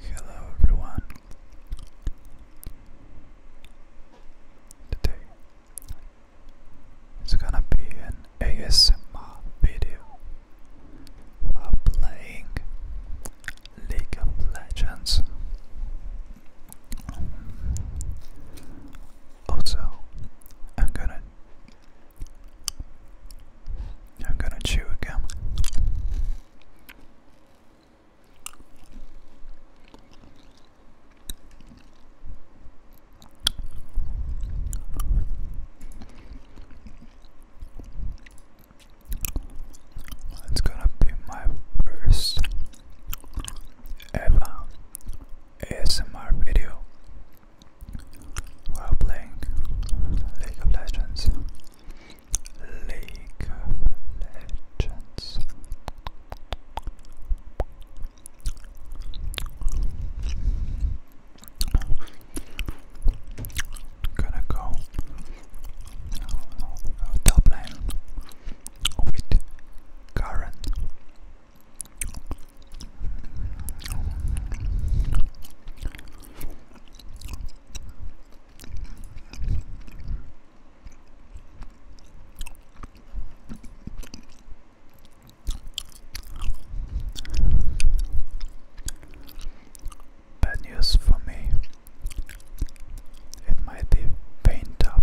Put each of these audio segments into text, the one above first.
Hello everyone. Today it's gonna be an ASMR video while playing League of Legends. Also, I'm gonna I'm gonna chew again. It's gonna be my first ever ASMR video while playing League of Legends. League Legends. Gonna go top lane with Karen Bad news for me. It might be paint up.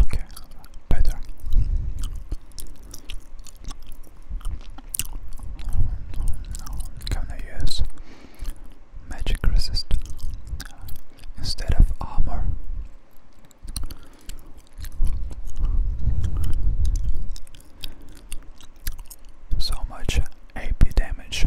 Okay, better. Can I use magic resist instead of armor? So much AP damage.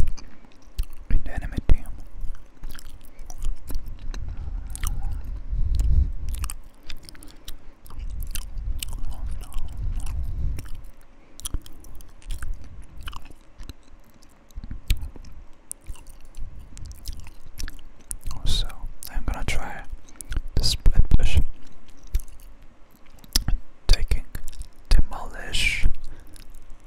So I'm gonna try the split push, taking demolish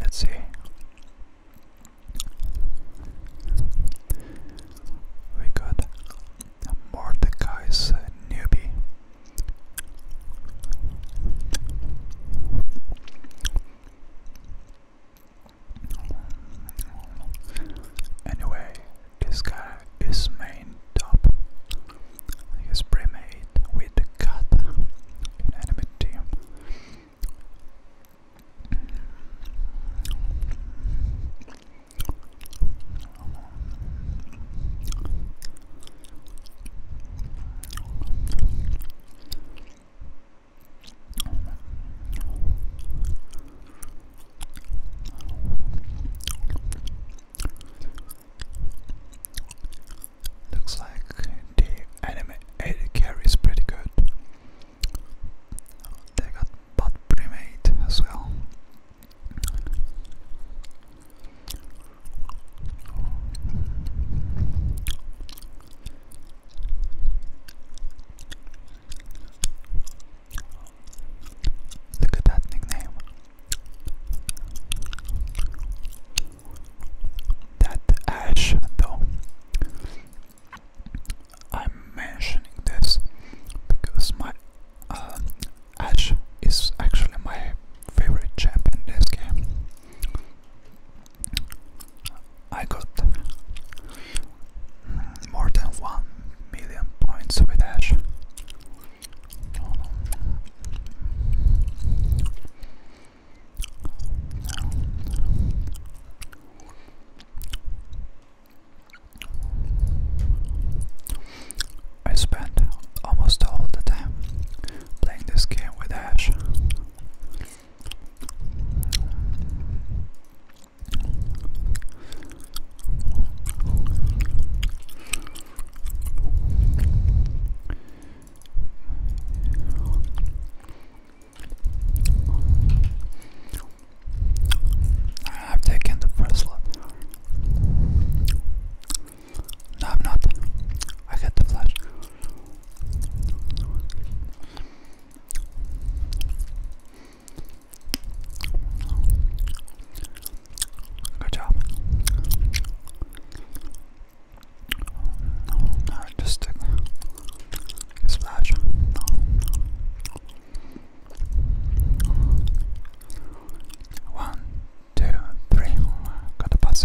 Let's see. We got Mordecai's uh, newbie. Anyway, this guy is main top. He is premade with cut in enemy team. Looks like the anime AD carries pretty good. They got butt pre-made as well. Look at that nickname. That Ash, though. I'm mentioning this because my uh, is actually my favorite champ in this game. I got more than 1 million points with Ash. I spent almost all the time playing this game with Ash. I've taken the first slot. No, I'm not. I had the flash. Good job. Alright, just stick. Splash. One, two, three. Got the pass.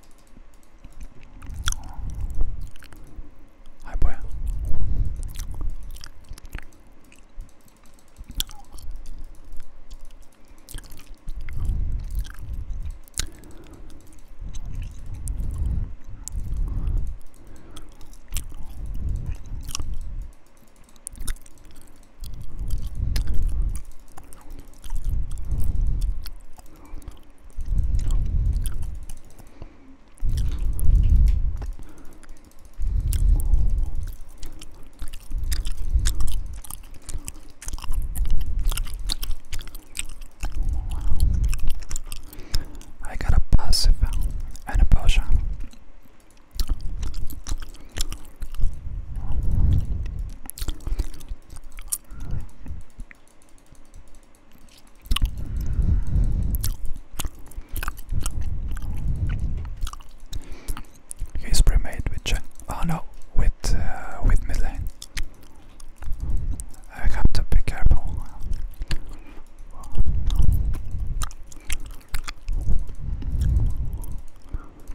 Hi, boy. I got a passive and a potion. He's pre-made with Cheng. Oh no, with uh, with mid I have to be careful.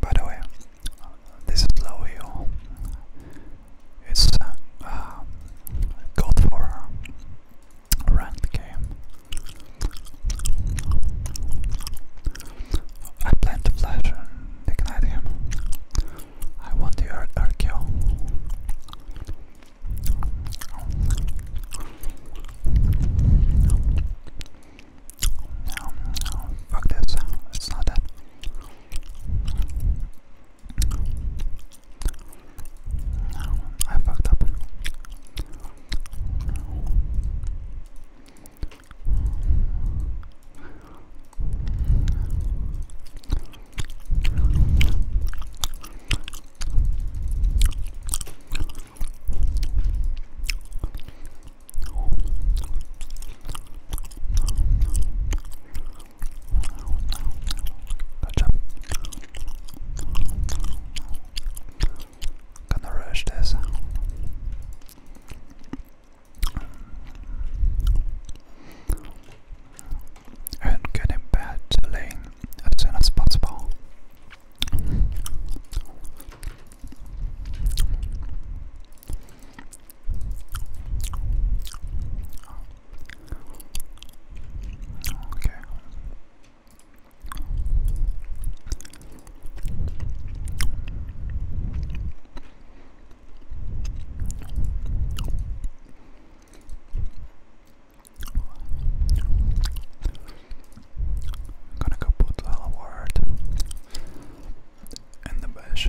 By the way, this is low uh, for a ranked game. I plan to flash and ignite I want the earth kill. No, no, fuck this. It's not that. No, I fucked up. Gotcha. Gonna rush this and get in bed late as soon as possible. Okay. I'm gonna go put a word in the bash.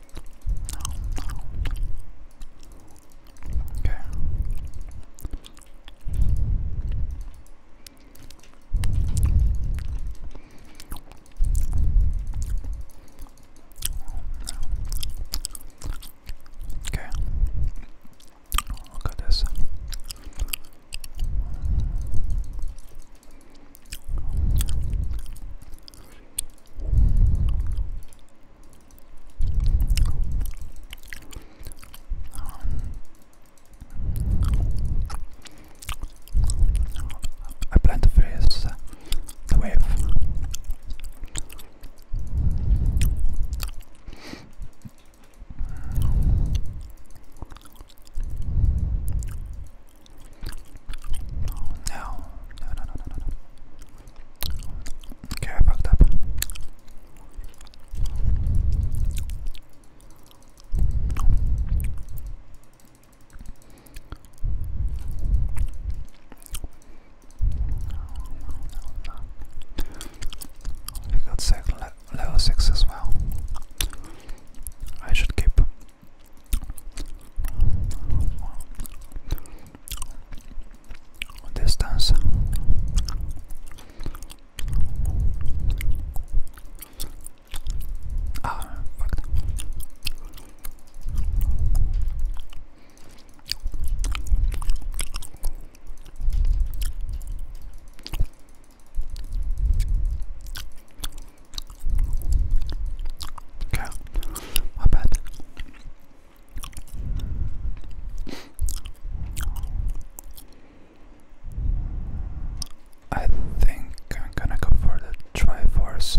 Okay. Okay. Look at this. I plan to face the wave. No, no, no, no, no, no. Okay, I fucked up. We got six, level 6 as well. I should keep distance ah fuck okay bad I think I'm gonna go for the force.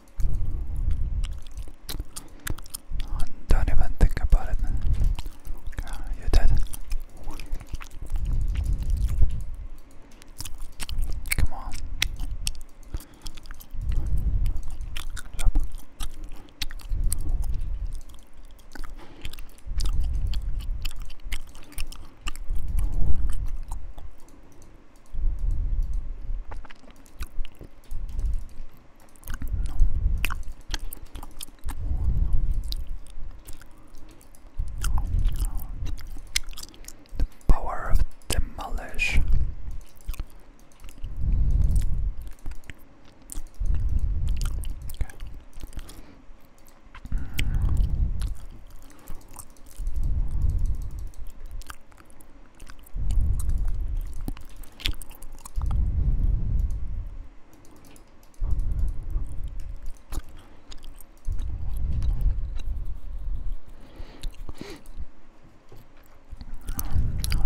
Don't even think about it. God, you did. Come on. Stop. The power of demolish.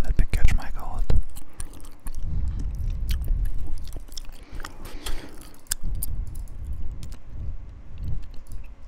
Let me catch my cold.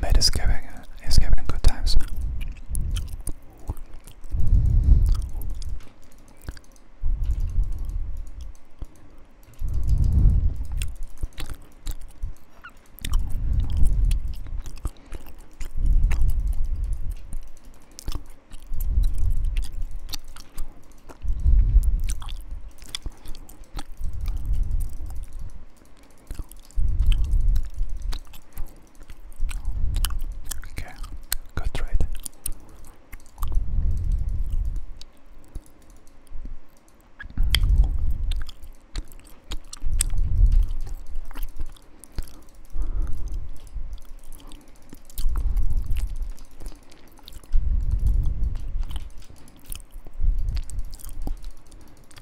Matt is giving, is giving good times. Okay, good trade.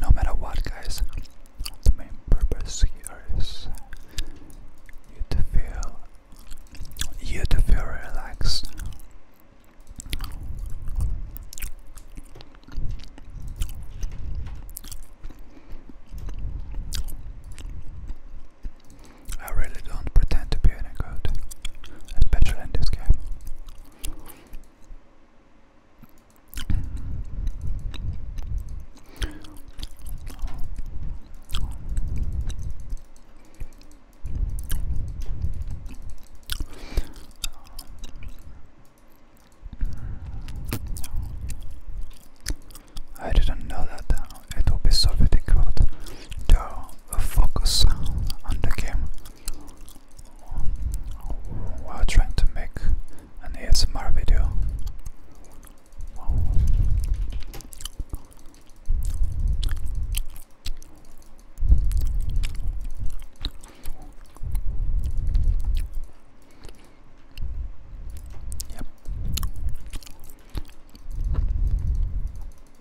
No matter what, guys, the main purpose here is you to feel you to feel relaxed. I really don't pretend to be any good, especially in this game. I didn't know that it will be so very difficult to focus on the game while trying to make an ASMR video. Yep.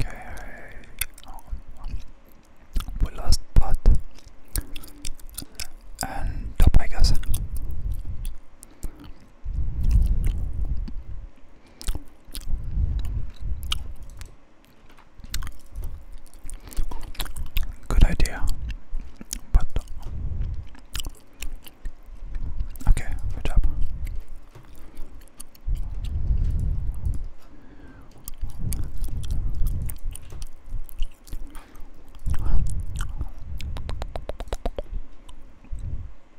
Okay, we lost pot and top, I Good idea, but okay, good job.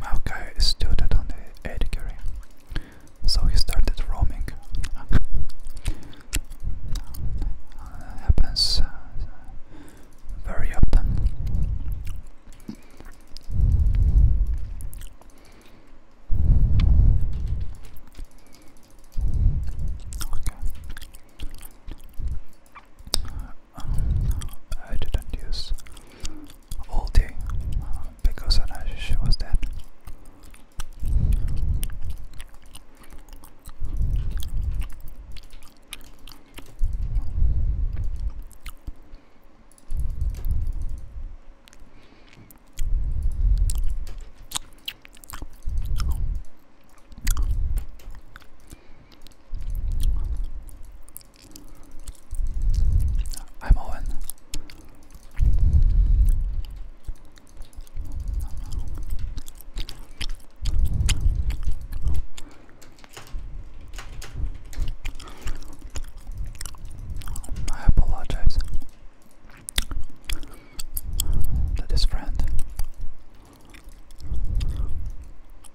Maokai stood on the Edgary, so he started roaming. happens uh, very often. Okay. I didn't use all day because Anash was dead. I'm Owen. I apologize to friend.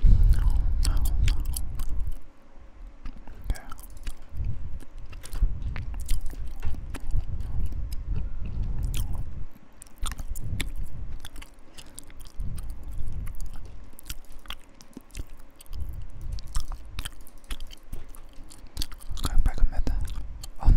No, no, no. Okay. Okay, back a minute. On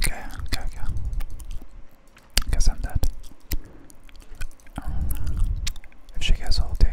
Okay, okay, okay. Guess I'm dead. if she gets all day.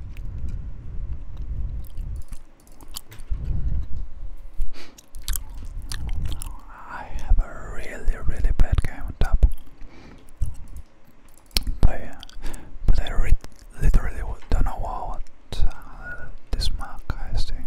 I have a really, really bad game on top. I literally don't know what uh, this mark is doing.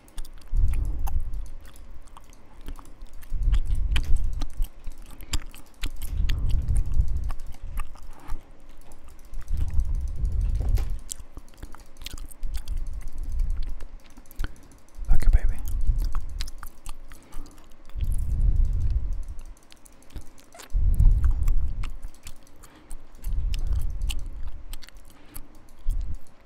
Okay, baby.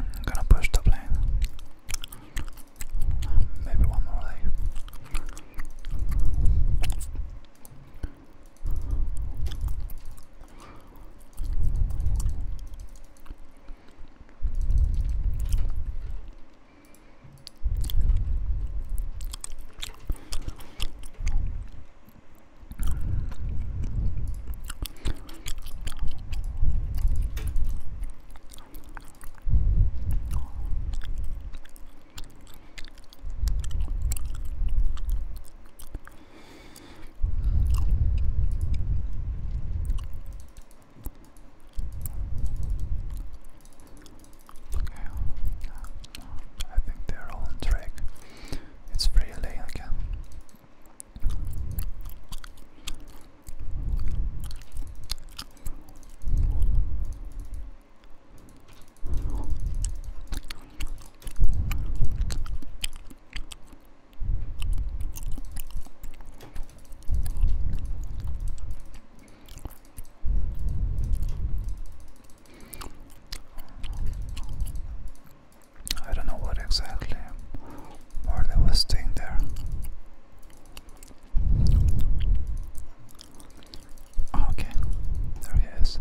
I'm gonna push the plane. Maybe one more leg. Okay, I think they're all on track. It's really again. I don't know what exactly or they were staying there. Okay, there he is.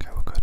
Okay, we're good.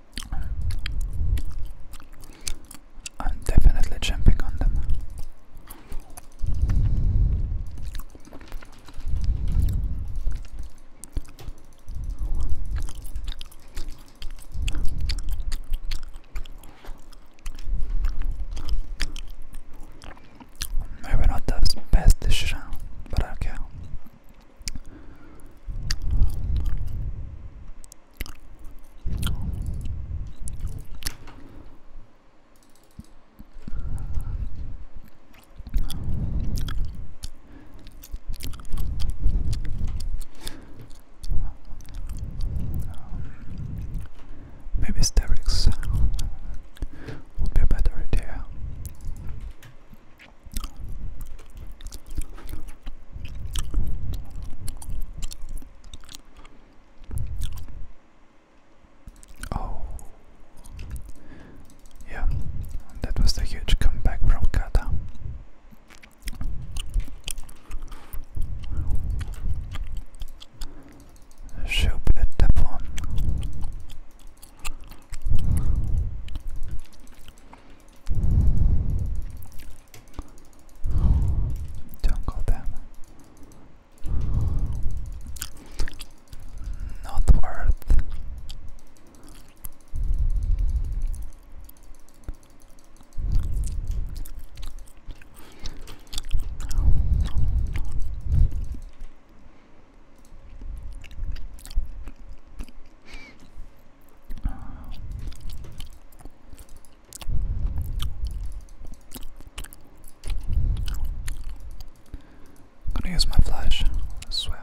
I'm definitely jumping on them. Maybe not the best decision, but I do Maybe sterics would be a better idea. Oh, yeah, that was the huge comeback from Kata. Stupid Devon. Don't go them. Not worth. I'm gonna use my flash, I swear.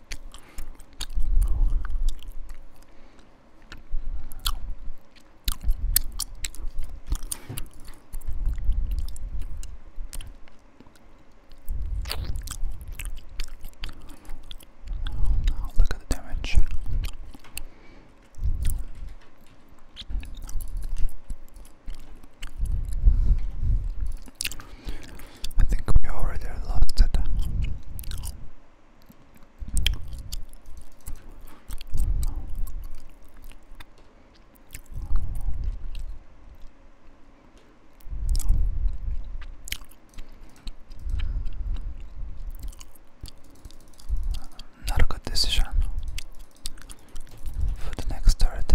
Oh, look at the damage. I think we already lost it. Not a good decision for the next turret.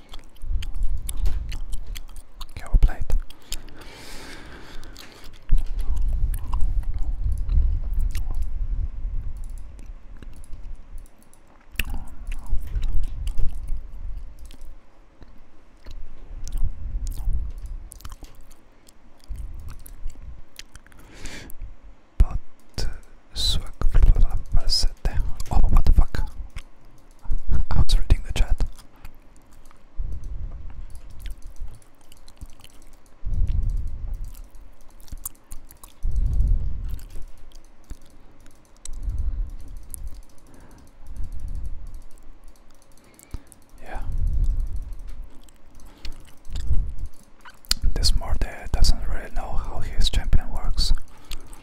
Okay, we'll But uh, Oh, what the fuck? I was reading the chat. Yeah. This Morde doesn't really know how his champion works.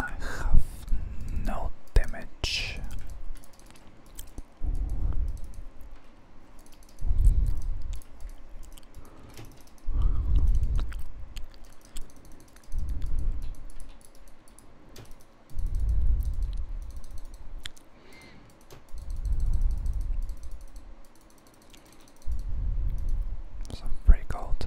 I have no damage. So pretty cold.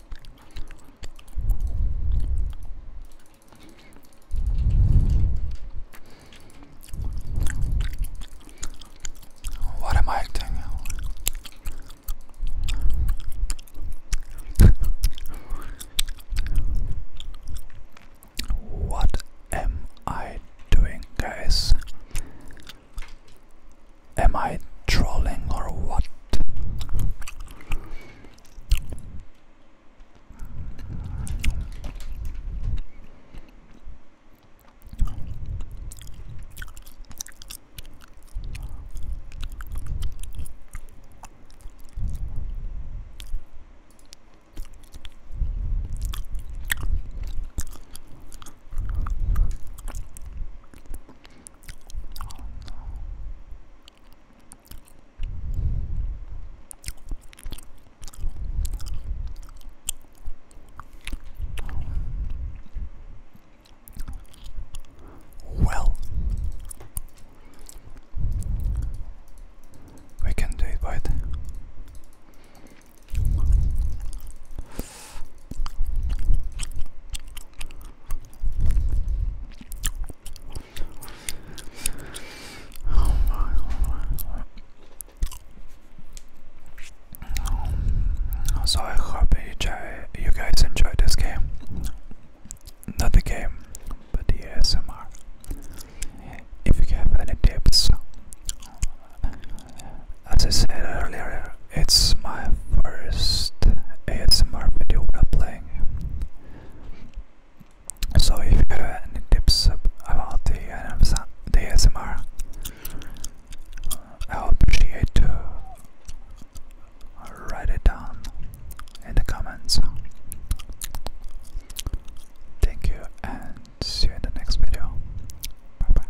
What am I acting? what am I doing, guys? Am I trolling or what? Well, we can do it, right? So I hope you, try, you guys enjoy this game. Not the game, but the ASMR. If you have any tips as I said earlier, it's my first ASMR video while playing. So if you have any tips about the, the ASMR, I would appreciate to write it down in the comments. Thank you and see you in the next video. Bye bye.